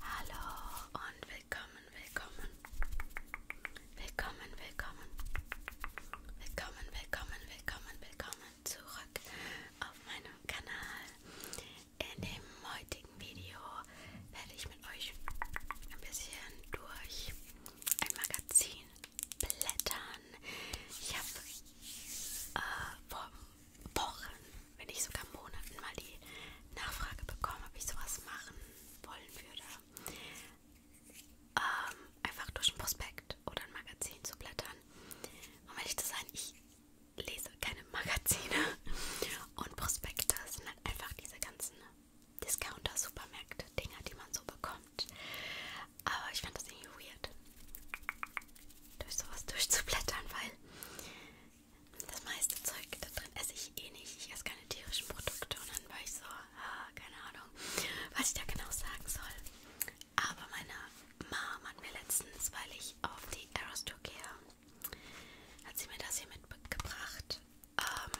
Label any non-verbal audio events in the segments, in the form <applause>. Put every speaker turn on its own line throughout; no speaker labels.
Hallo und willkommen, willkommen. Willkommen, willkommen. Willkommen, willkommen, willkommen, willkommen zurück auf meinem Kanal. In dem heutigen Video werde ich mit euch ein bisschen durch ein Magazin Blättern. Ich habe äh, vor Wochen, wenn nicht sogar Monaten, mal die Nachfrage bekommen, ob ich sowas machen wollen würde. Ähm, einfach durch ein Prospekt oder ein Magazin zu blättern. Um ehrlich zu sein, ich lese keine Magazine <laughs> und Prospekte sind halt einfach diese ganzen Discounter-Supermärkte-Dinger, die man so bekommt kommt. Aber ich fand das irgendwie weird, durch sowas durchzublättern, weil das meiste Zeug da drin esse ich eh nicht. Ich esse keine tierischen Produkte und dann war ich so, ah, keine Ahnung, was ich da genau sagen soll. Aber meine Mom hat mir letztens, weil ich auf die Aerostore gehe, hat sie mir das hier mitgebracht. Ähm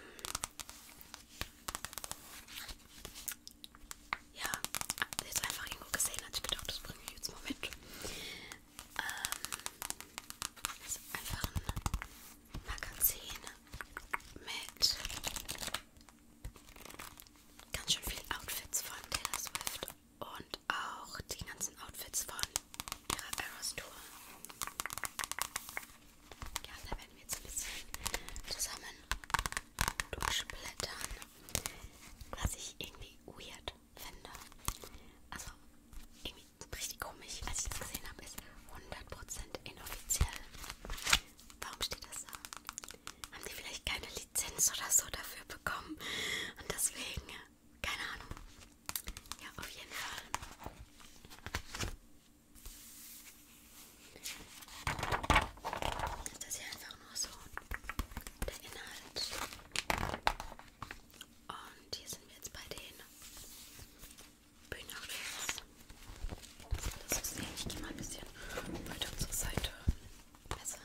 ja, jetzt einfach irgendwo gesehen, hatte ich gedacht, das bringe ich jetzt mal mit. Ähm, das ist einfach ein Magazin mit ganz schön vielen Outfits von Taylor Swift und auch die ganzen Outfits von ihrer Eras Tour. Ja, da werden wir jetzt ein bisschen zusammen durchblättern. Was ich irgendwie weird finde. Also irgendwie richtig komisch, als ich das gesehen habe, ist 100% inoffiziell. Warum steht das da? Haben die vielleicht keine Lizenz oder so dafür bekommen? Und deswegen, keine Ahnung. Ja, auf jeden Fall. Ist das hier einfach nur so ein der Inhalt. Und hier sind wir jetzt bei den Bühnenactors. Das ist ich gehe mal ein bisschen weiter zur Seite. Besser.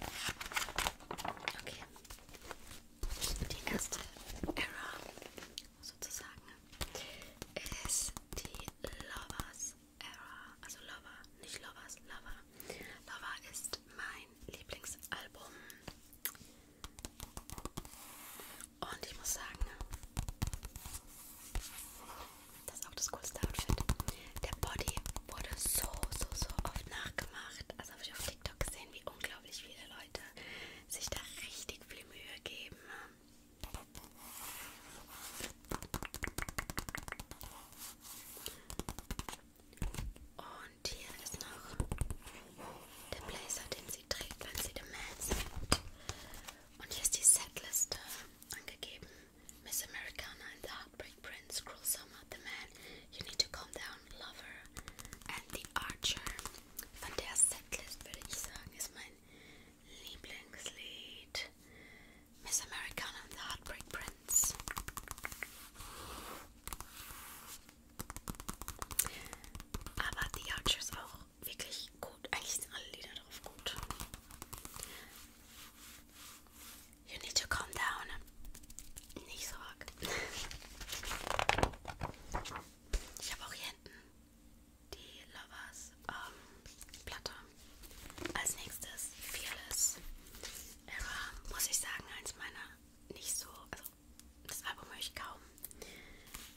Also. Okay. Die erste Era sozusagen ist die Lovers Era, also Lover, nicht Lovers, Lover. Lover ist mein Lieblingsalbum. Und ich muss sagen, das ist auch das coolste Outfit. Der Body wurde so, so, so oft nachgemacht. Also habe ich auf TikTok gesehen, wie unglaublich viele Leute sich da richtig viel Mühe geben. Und hier ist noch der Blazer, den sie trägt, wenn sie dem Man sind. Und hier ist die Setliste angegeben. Miss Americana and the Heartbreak Prince, Cruel Summer, The Man, You Need to Calm Down, Lover and The Archer. Von der Setlist würde ich sagen, ist mein Lieblingslied Miss Americana and the Heartbreak Prince. Aber The Archer ist auch wirklich gut. Eigentlich sind alle Lieder drauf gut. You need to calm down. Nicht so arg. Ich habe auch hier hinten die Lovers ähm, Platte. Als nächstes Fearless Era, muss ich sagen, eins meiner nicht so, also das Album höre ich kaum.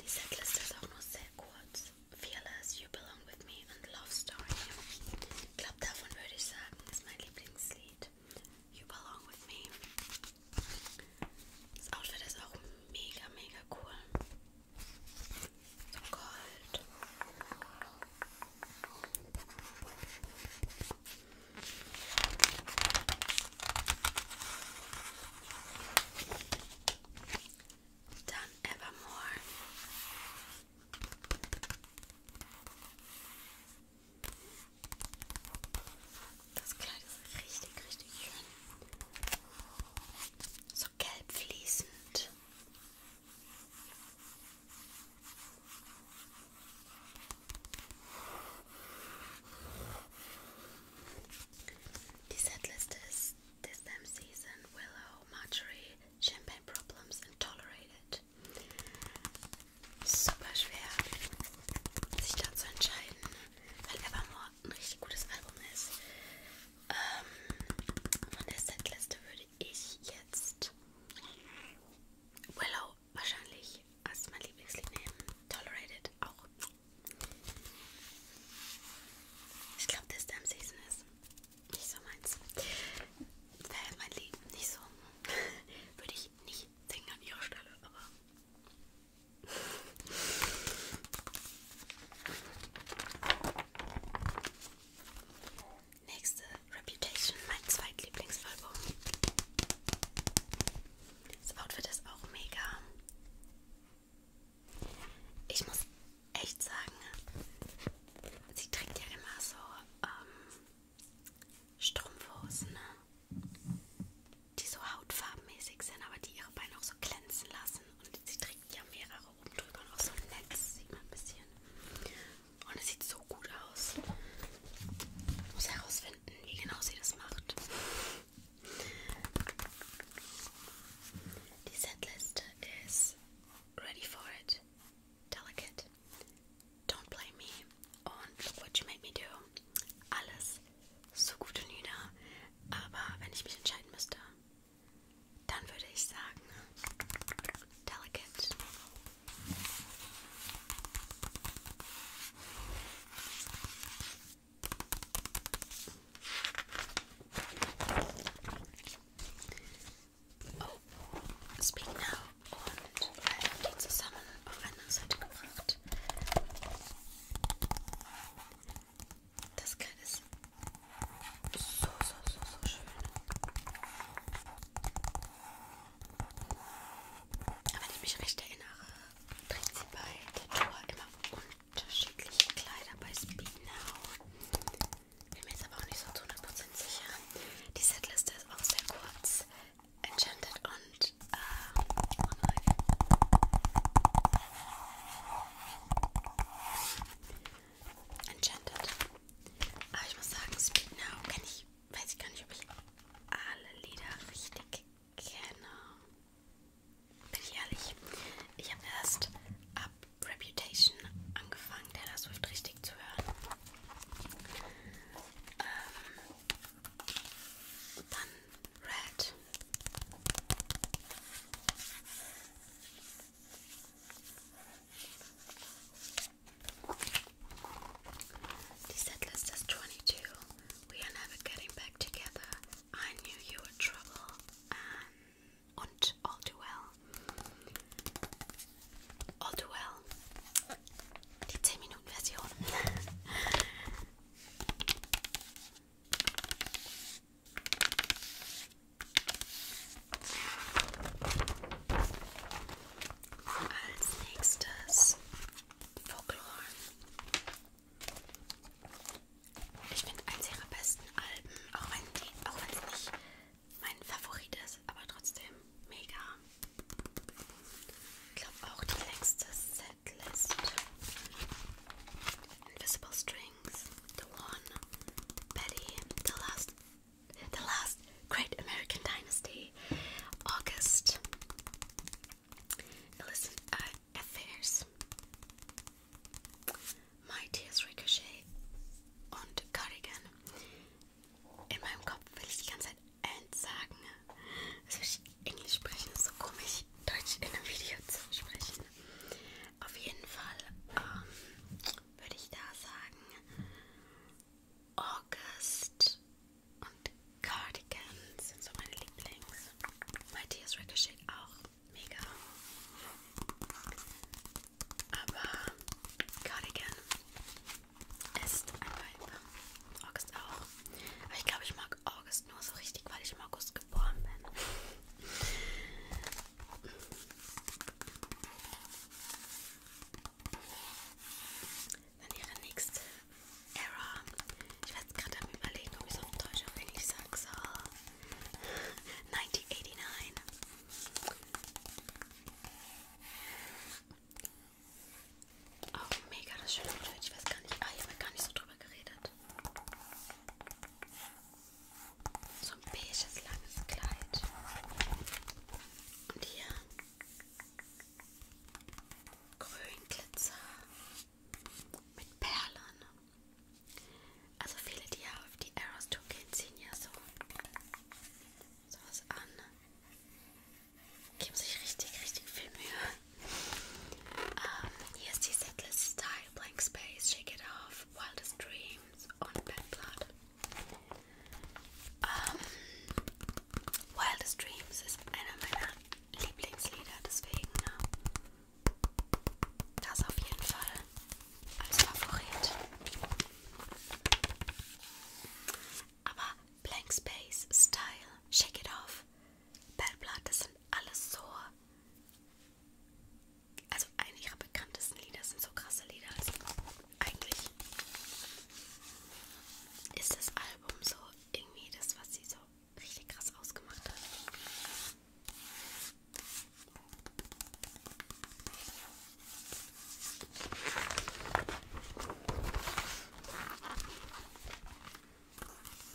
Die Setliste ist auch nur sehr kurz. Fearless, You Belong With Me und Love Story. Ich glaube, davon würde ich sagen, ist mein Lieblingslied. You Belong With Me. Das Outfit ist auch mega, mega cool. So Gold. Dann Evermore. Das Kleid ist richtig, richtig schön. So gelb fließend. These atlases this them season willow, marjorie, champagne problems and tolerated. Super schwer, sich dazu entscheiden, weil Evermore ein richtig gutes Album ist. von ähm, der Setliste würde würde ich jetzt Willow wahrscheinlich als mein Lieblingslied nehmen. Tolerated auch. Ich glaube, das Damn Season ist nicht so meins. Wäre mein Leben nicht so. <laughs> würde ich nicht denken an ihrer Stelle, aber. Nächste Reputation, mein zweitlieblingsalbum. Das Outfit ist auch mega. Ich muss echt sagen, sie trägt ja immer so ähm, Strumpfhosen, ne? die so hautfarbenmäßig sind, aber die ihre Beine auch so glänzen lassen. Und sie trägt ja mehrere oben drüber noch so ein Netz, sieht man ein bisschen. Und es sieht so gut aus. Ich muss herausfinden, wie genau sie das macht. Die Setliste ist Ready for It, Delicate, Don't Blame Me und Look What You Made Me Do. Alles so gute Lieder, aber wenn ich mich entscheiden müsste, Dann würde ich sagen, delicate. Oh, Speak Now und Ralf haben die zusammen gebracht. Das ist So, so, so, so schön. Aber wenn ich mich recht erinnere, trägt sie bei Tattoo immer unterschiedliche Kleider bei Speednow. Bin mir jetzt aber auch nicht so zu 100% sicher. Die Setliste ist auch sehr kurz. Enchanted und äh, Online. Enchanted. Aber ich muss sagen, Speak Now kenne ich. Weiß ich gar nicht, ob ich alle Lieder richtig kenne. Bin ich ehrlich. Ich habe erst ab Reputation angefangen, Taylor Swift richtig zu hören. Ähm, dann Red. The set list is 22. We are never getting back together. I knew you were trouble. And, and all too well. All too well. Die 10 Minuten Version. Als nächstes Folklore. Ich finde eins ihrer besten Alben, auch wenn die, auch wenn es nicht mein Favorit ist, aber trotzdem mega. Ich glaube auch die längste Setlist. Invisible Strings, The One, Betty, The Last The Last Great American Dynasty, August. Illicit uh, Affairs, Mightiest Ricochet und Cardigan. In meinem Kopf will ich die ganze Zeit and sagen. Das will ich Englisch sprechen, ist so komisch, Deutsch in einem Video zu sprechen. Auf jeden Fall, ähm, würde ich da sagen, August und Cardigans sind so meine Lieblings. Matthias Ricochet auch mega. Aber Cardigan ist ein Vibe. August auch. Aber ich glaube, ich mag August nur so richtig, weil ich im August geboren bin. Dann ihre nächste Error. Ich war gerade am überlegen, ob ich so ein Deutsch auf Englisch sagen soll. 1989. Oh, mega das schöne Outfit. Ich weiß gar nicht. Ah, ich habe gar nicht so drüber geredet so ein beiges langes Kleid. Und hier Grünglitzer mit Perlen. Also viele, die ja auf die Arrows Tour gehen, ziehen ja so sowas an. Geben sich richtig, richtig viel Mühe. Um, ähm, hier ist die Setlist Style, Blank Space, Shake It Off, Wildest Dreams und Bad Blood. Ähm, Wildest Dreams ist einer meiner Lieblingslieder, deswegen ne? das auf jeden Fall als Favorit. Aber Blank Space, Style, Shake It Off, Bad Blood, das sind alles so also eine ihrer bekanntesten Lieder sind so krasse Lieder. Also eigentlich ist das Album so irgendwie das, was sie so richtig krass ausgemacht hat.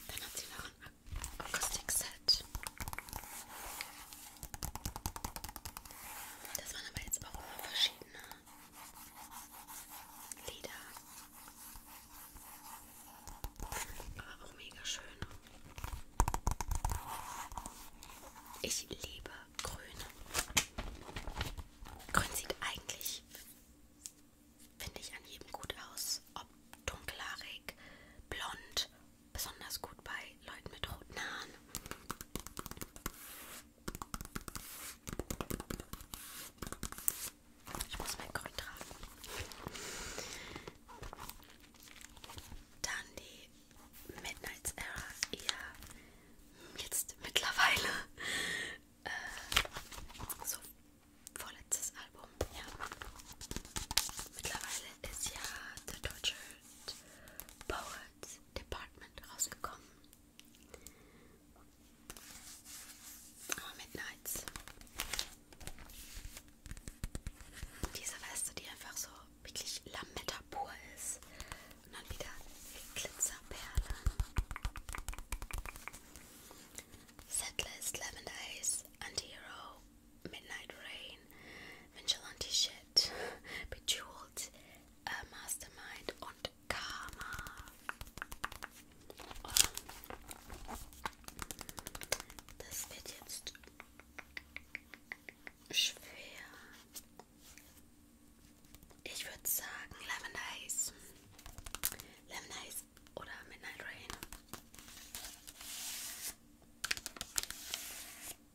Dann hat sie noch ein Akustikset. Das waren aber jetzt auch immer verschiedene Lieder. Aber auch mega schön. Ich liebe Grün. Grün sieht eigentlich, finde ich, an jedem gut aus. Ob dunkelhaarig, blond, besonders gut bei Leuten mit roten Haaren. Ich muss mein Grün tragen. Dann die Midnight's Era eher jetzt mittlerweile äh, so vorletztes Album. Ja. Mittlerweile ist ja The Tortured Poet als Department rausgekommen. Aber oh, Midnights. Diese Weste, die einfach so wirklich Lametta pur ist. Und dann wieder Glitzerperlen. Setlist, Lavender Haze, Antihero, Midnight Rain, Vigilante Shit, <laughs> Bejeweled, äh, Mastermind und Karma. Und ähm, das wird jetzt schwer. Ich würde sagen Lemon Ice. Lemon Ice oder Midnight Rain. Okay.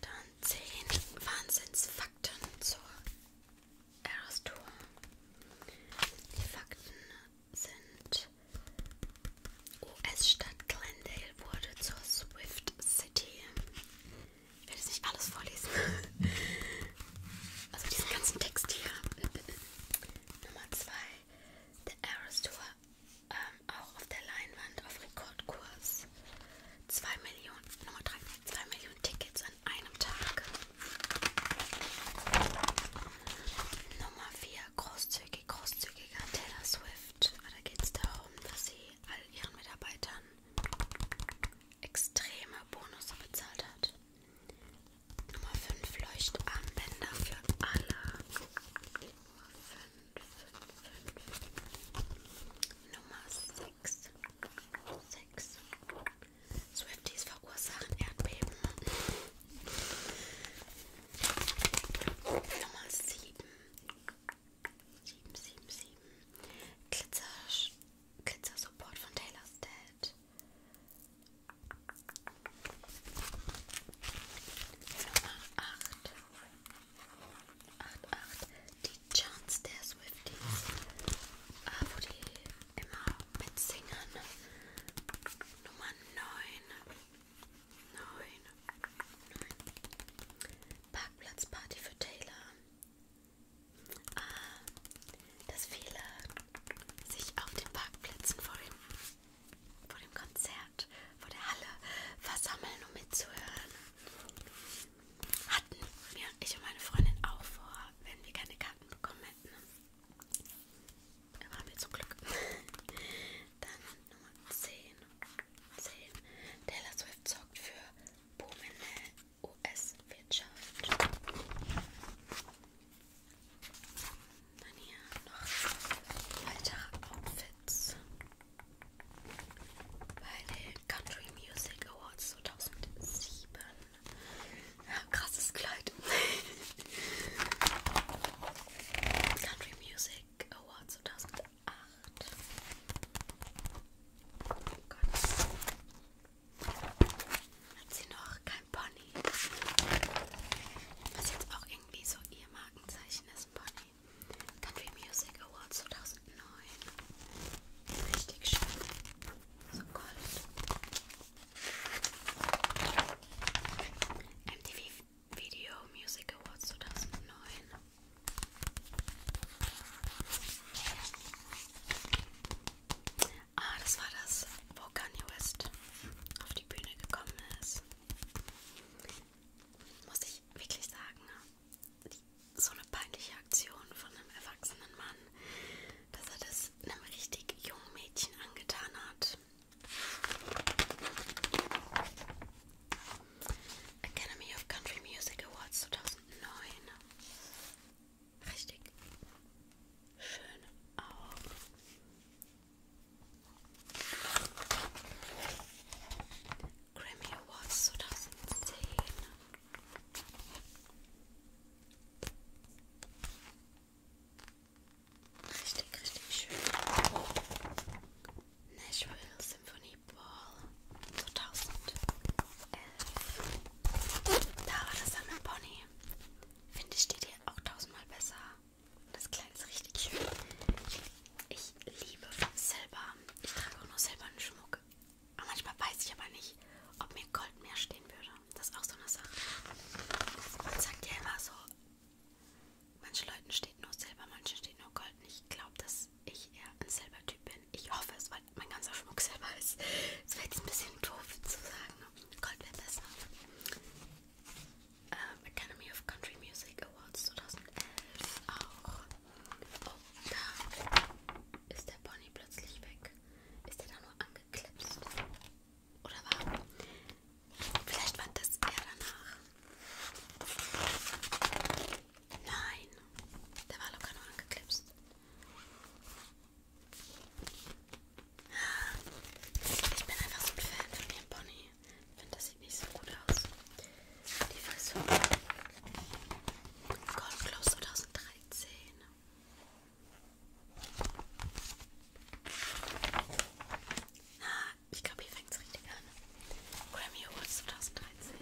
Dann zehn Wahnsinnsfakten zur Eros Tour. Die Fakten sind. US-Stadt Glendale wurde zur Swift City. Ich werde jetzt nicht alles vorlesen. Also diesen ganzen Text hier. Nummer 2. The Eras Tour. Ähm, auch auf der Leinwand auf Rekordkurs. 2 Millionen, Nummer 3, 2 Millionen Tickets an einem Tag. Nummer 4. Groß großzügig, großzügiger Taylor Swift. Aber da geht es darum, dass sie all ihren Mitarbeitern extreme Bonus bezahlt hat. Nummer 5 Leuchtarmbänder für alle. Nummer 5, Nummer 6. 6. Swifties verursachen Erdbeben. Nummer 7. 7, 7, 7. Glitzer, Glitzer Support von Taylor's Dad. Nummer 8. 8, 8. Die Chance der Swifties. Ah, wo die immer mitsingen. Nummer 9. Nein. Nein. Parkplatzparty für Taylor. Ah, dass viele sich auf den Parkplätzen vor dem, vor dem Konzert, vor der Halle versammeln, um mitzuhören. Hatten wir, ich und meine Freundin, auch vor, wenn wir keine Karten bekommen hätten. Aber haben wir zum Glück. <laughs> Dann Nummer 10. 10. Taylor Swift sorgt für boomende US-Wirtschaft. Dann hier noch weitere Outfits. Bei den Country Music Awards 2007. Ja, krasses Kleid. <laughs> Country Music Award 2008. Oh Gott. Hat sie noch kein Pony? Was jetzt auch irgendwie so ihr Markenzeichen ist, Pony. Country Music Award 2009. Richtig schön. So gold. MTV Video Music Awards 2009. Ah, das war das, wo Kanye West auf die Bühne gekommen ist. Muss ich wirklich sagen, ne? die, so eine peinliche Aktion von einem erwachsenen Mann, dass er das einem richtig jungen Mädchen angetan hat. Academy of Country Music Awards 2009. Richtig schön auch. Grammy Awards 2010. Richtig, richtig schön. Nashville Symphony Ball 2011. Da war das Sammelpony. Finde ich, steht hier auch tausendmal besser. Das Kleid ist richtig schön. Ich liebe Silber. Ich trage auch nur silbernen Schmuck. Aber manchmal weiß ich aber nicht, ob mir Gold mehr stehen würde. Das ist auch so eine Sache. Man sagt ja immer so, Manchen Leuten steht nur Silber, manchen steht nur Gold. Und ich glaube, dass ich eher ein Silbertyp bin. Ich hoffe es, weil mein ganzer Schmuck Silber ist. Das wäre jetzt ein bisschen doof zu sagen. Ne? Gold wäre besser. Ähm, Academy of Country Music Awards 2011 auch. Oh, da ist der Pony plötzlich weg. Ist der da nur angeklipst? Oder war? Vielleicht war das er danach. Nein, der war locker nur angeklipst. Ich bin einfach so ein Fan von dem Pony. Ich finde, das sieht nicht so gut aus. Die Frisur. Gold Close 2013. Ah, ich glaube, hier fängt es richtig an. Grammy Awards 2013.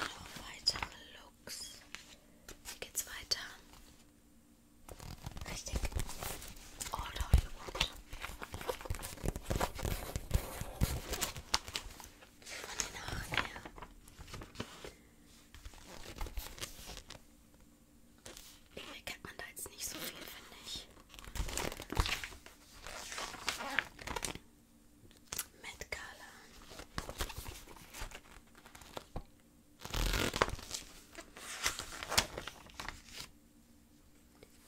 Noch weitere Looks. Wie geht's weiter? Richtig. All the way von den Haaren her. Irgendwie kennt man da jetzt nicht so viel, finde ich. Mit Color.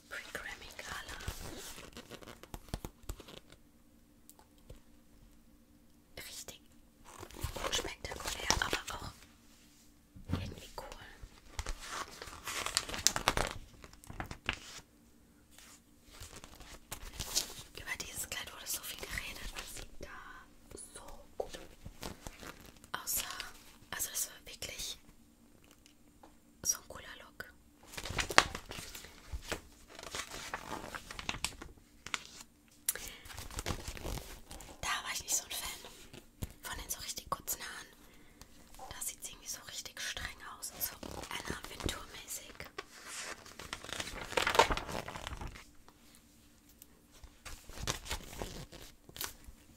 Pre-Grammy Gala. Richtig unspektakulär, aber auch irgendwie cool. Über dieses Kleid wurde so viel geredet. Das sieht da so gut. Außer, also das war wirklich so ein cooler Look. Da war ich nicht so ein Fan von den so richtig kurzen Haaren. Da sieht es irgendwie so richtig streng aus, so Anna Wintour-mäßig.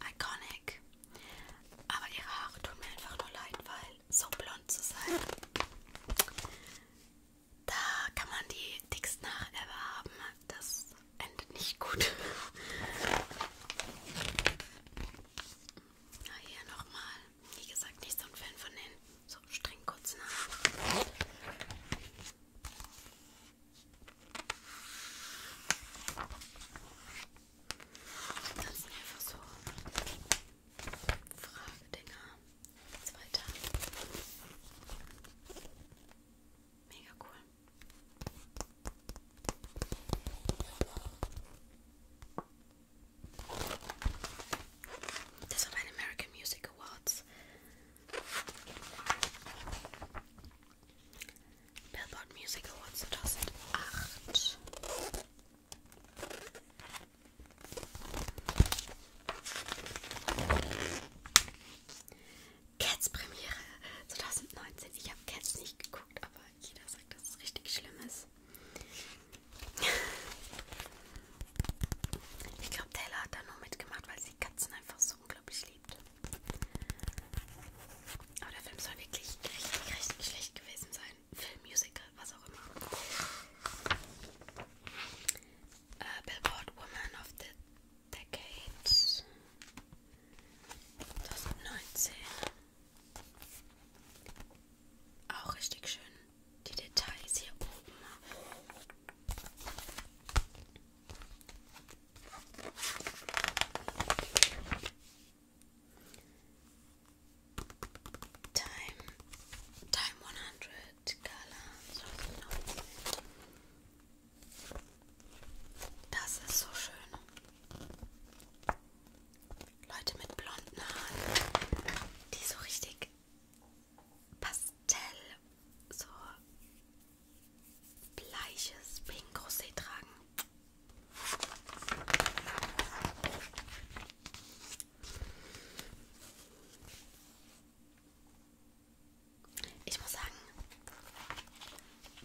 Iconic. Aber ihre Haare tun mir einfach nur leid, weil so blond zu sein. Da kann man die dicksten Haare ever haben. Das endet nicht gut. Na, hier nochmal. Wie gesagt, nicht so ein Fan von den so streng kurzen Haaren. Das sind einfach so Fragedinger. Jetzt weiter. Mega cool. Das war bei den American Music Awards. Billboard Music Awards 2008. Cats Premiere 2019. Ich habe Cats nicht geguckt, aber jeder sagt, dass es richtig schlimm ist. Ich glaube, Taylor hat da nur mitgemacht, weil sie Katzen einfach so unglaublich liebt. Aber der Film soll wirklich richtig, richtig schlecht gewesen sein ein Film, Musical, was auch immer. Uh, Billboard Woman of the Decade 2019. Auch richtig schön. Die Details hier oben. Time, time 100 Color. Das ist so schön. Leute mit blonden Haaren, die so richtig Pastell, so bleiches Pink Rosé tragen. Ich muss sagen,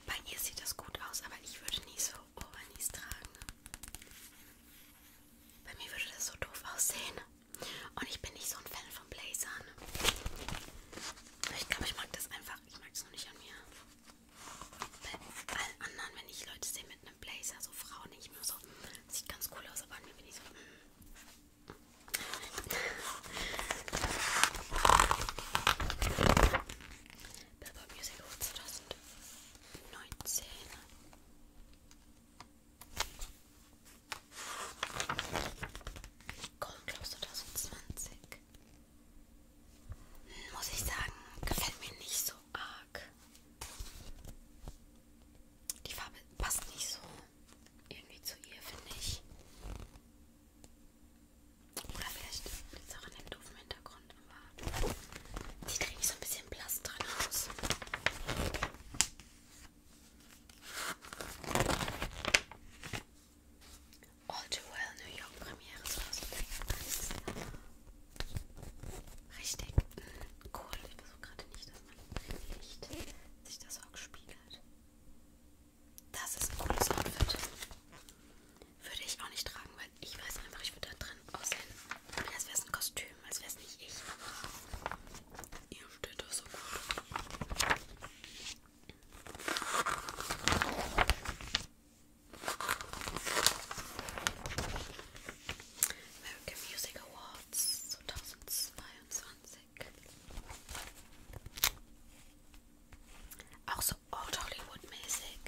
bei ihr sieht das gut aus, aber ich würde nie so Overknees tragen. Bei mir würde das so doof aussehen. Und ich bin nicht so ein Fan von Blazern. Ich glaube, ich mag das einfach. Ich mag es nur nicht an mir. Bei allen anderen, wenn ich Leute sehe mit einem Blazer, so Frau nicht mehr so. Sieht ganz cool aus, aber an mir bin ich so. Hm. Billboard Music Awards 2019. Golden Globes 2020. Muss ich sagen, gefällt mir nicht so so arg. Die Farbe passt nicht so irgendwie zu ihr, finde ich. Oder vielleicht liegt es auch an dem doofen Hintergrund, aber die kriege ich so ein bisschen blass dran aus. All Too Well New York Premiere 2001. Richtig cool. Ich versuche gerade nicht, dass man Licht sich das auch spiegelt. Das ist ein cooles Outfit. Würde ich auch nicht tragen, weil ich weiß einfach, ich würde da drin aussehen. Als wäre es ein Kostüm, als wäre es nicht ich. Aber ihr steht das so gut. American Music Awards 2022. Auch Old Hollywood-mäßig.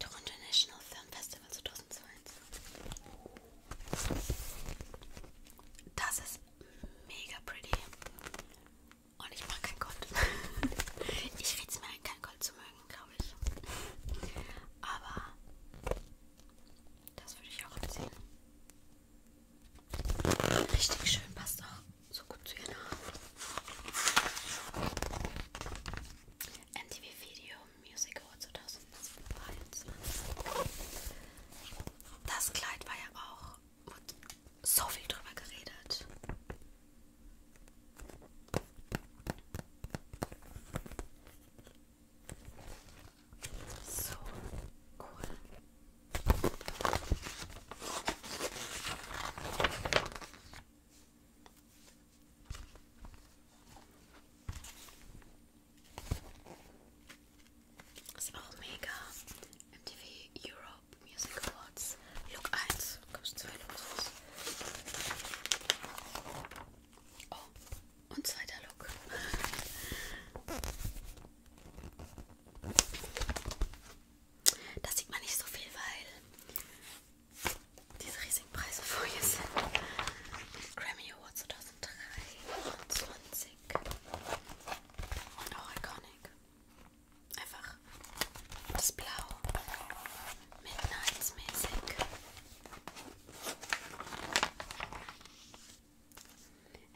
Toronto National Film Festival 2022. Das mega pretty. Und ich mag kein Gold. <laughs> ich rede es mir ein, kein Gold zu mögen, glaube ich. Aber das würde ich auch anziehen. Richtig schön, passt auch so gut zu ihren Haaren. MTV Video Music Award 2022. Das Kleid war ja auch wird so viel drüber geredet. So cool. Ist auch mega. MTV Europe. Top Music Awards Look 1. Gab es zwei Looks. Oh, und zweiter Look. Da sieht man nicht so viel, weil diese riesigen Preise vorher sind. Grammy Award 2023. Und auch Iconic. Einfach das Blau. Midnights-mäßig.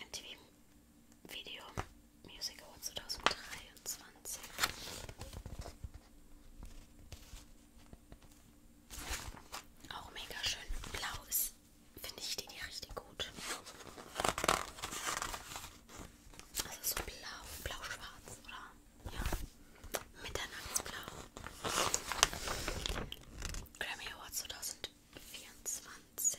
MTV Video Music Award 2023. Auch mega schön. Blau ist, finde ich, die, die richtig gut. Also so blau, blau-schwarz, oder? Ja. Mitternachtsblau. Grammy Award 2024.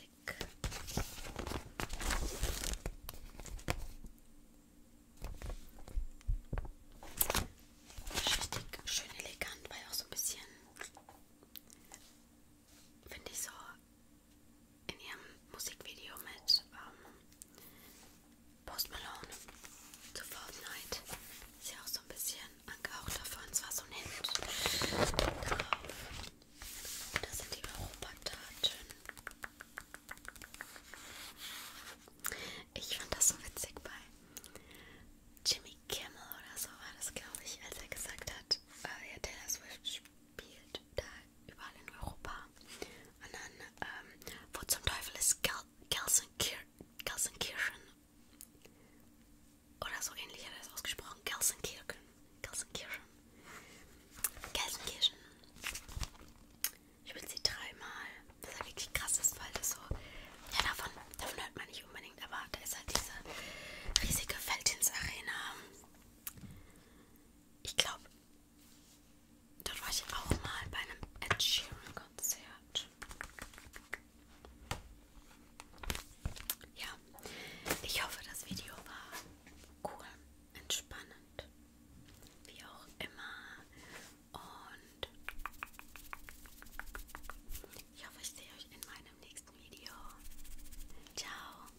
Richtig schön elegant, weil auch so ein bisschen, finde ich so in ihrem Musikvideo mit ähm, Post Malone zu Fortnite. Ist ja auch so ein bisschen angehaucht davon. Es war so ein Hemd drauf. Das sind die Europataten. Ich fand das so witzig bei Jimmy Kimmel oder so war das, glaube ich, als er gesagt hat, äh, ja, Taylor Swift spielt da überall in Europa. Und dann, ähm, wo zum Teufel ist Gel Gelsenkir Gelsenkirchen? Oder so ähnlich hat er es ausgesprochen. Gelsenkirchen. Gelsenkirchen. Gelsenkirchen. Ich bin sie dreimal. Das ist ja wirklich krass, das weil das so. Ja, davon, davon hört man nicht unbedingt, aber da ist halt diese riesige Feldins-Arena. Ich glaube, Dort war ich auch mal bei einem Ed Sheeran Konzert. Ja, ich hoffe, das Video war cool, entspannend, wie auch immer. Und ich hoffe, ich sehe euch in meinem nächsten Video. Ciao.